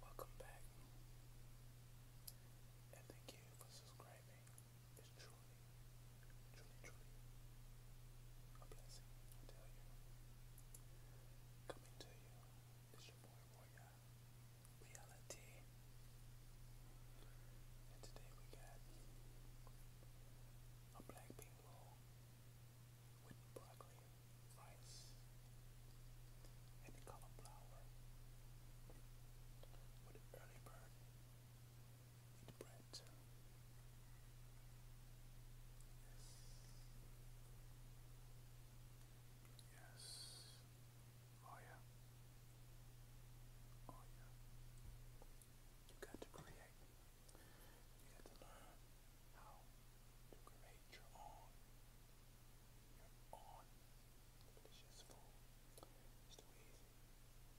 Welcome back. And thank you for subscribing. It's truly, truly, truly a blessing, I tell you. Coming to you is your boy Roya Reality. And today we got a black pink roll with broccoli, rice, and cauliflower, with early bird, with bread Yes. Oh yeah. Oh yeah. You got to create. You got to learn how to create your own, your own delicious food. It's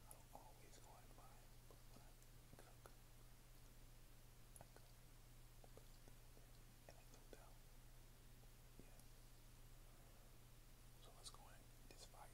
not always go out and but when I cook, I cook. And I cook down. Yes. So let's go in this fire.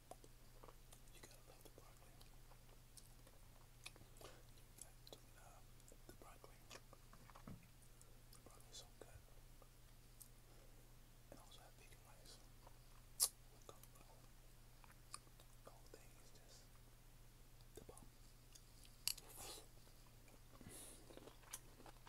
You gotta love the broccoli. That, uh, the broccoli. The broccoli's so good. And also have vegan rice. the whole thing is just the bomb.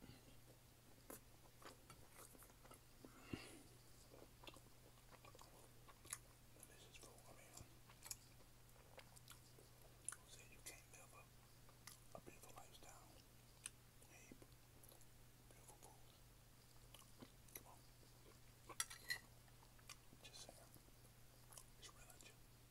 This is for, I you can't live a, a beautiful lifestyle? Hey, beautiful food. Come on. Just saying. It's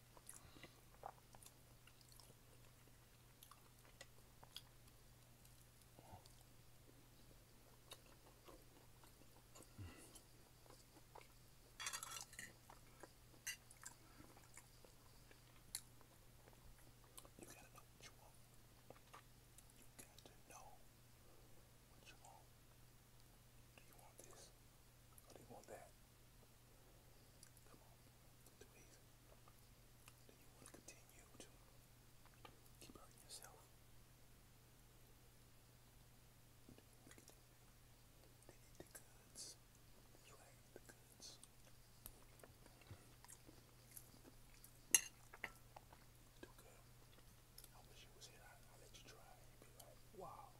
You gotta know what you want. You got to know what you want. Do you want this? do you want that? Come on. Please. Do you want to continue to keep hurting yourself? Do you the goods. You ain't the goods. Too good. I wish you was here. I, I let you try. be like, wow.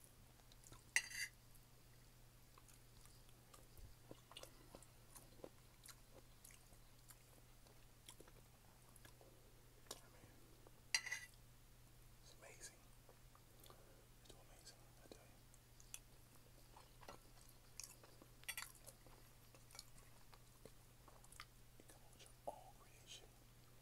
it's amazing. It's amazing, I tell you. You all creation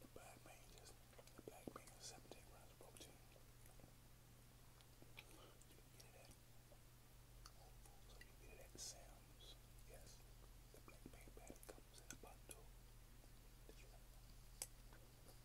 the black man just the black man is seven take grams of protein. You can get it at Whole Foods or you can get it at Sam's. Yes, the black man bag comes in a bundle. Did you know? Black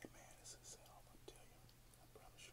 Hey man, this is all I'm gonna tell you. I promise you.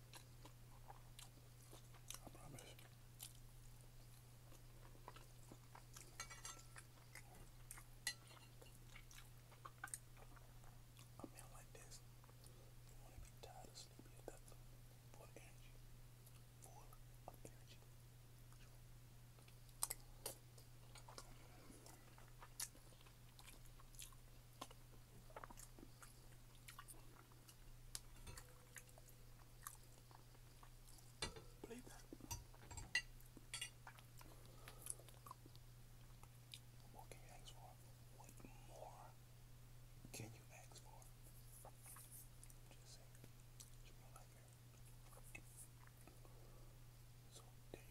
I promise. A man like this, you want to be tired of sleepy or nothing, full energy, full energy. Believe that. What can you for? What more can you ask for? So there you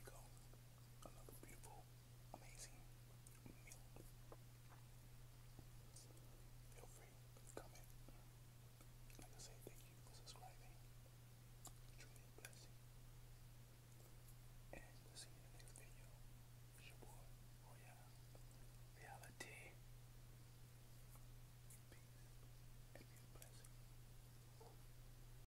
go. Another beautiful amazing meal. Feel free to comment. Like I said, thank you for subscribing. Truly a blessing. And we'll see you in the next video. It's your boy, Royale Reality. Peace and a blessing.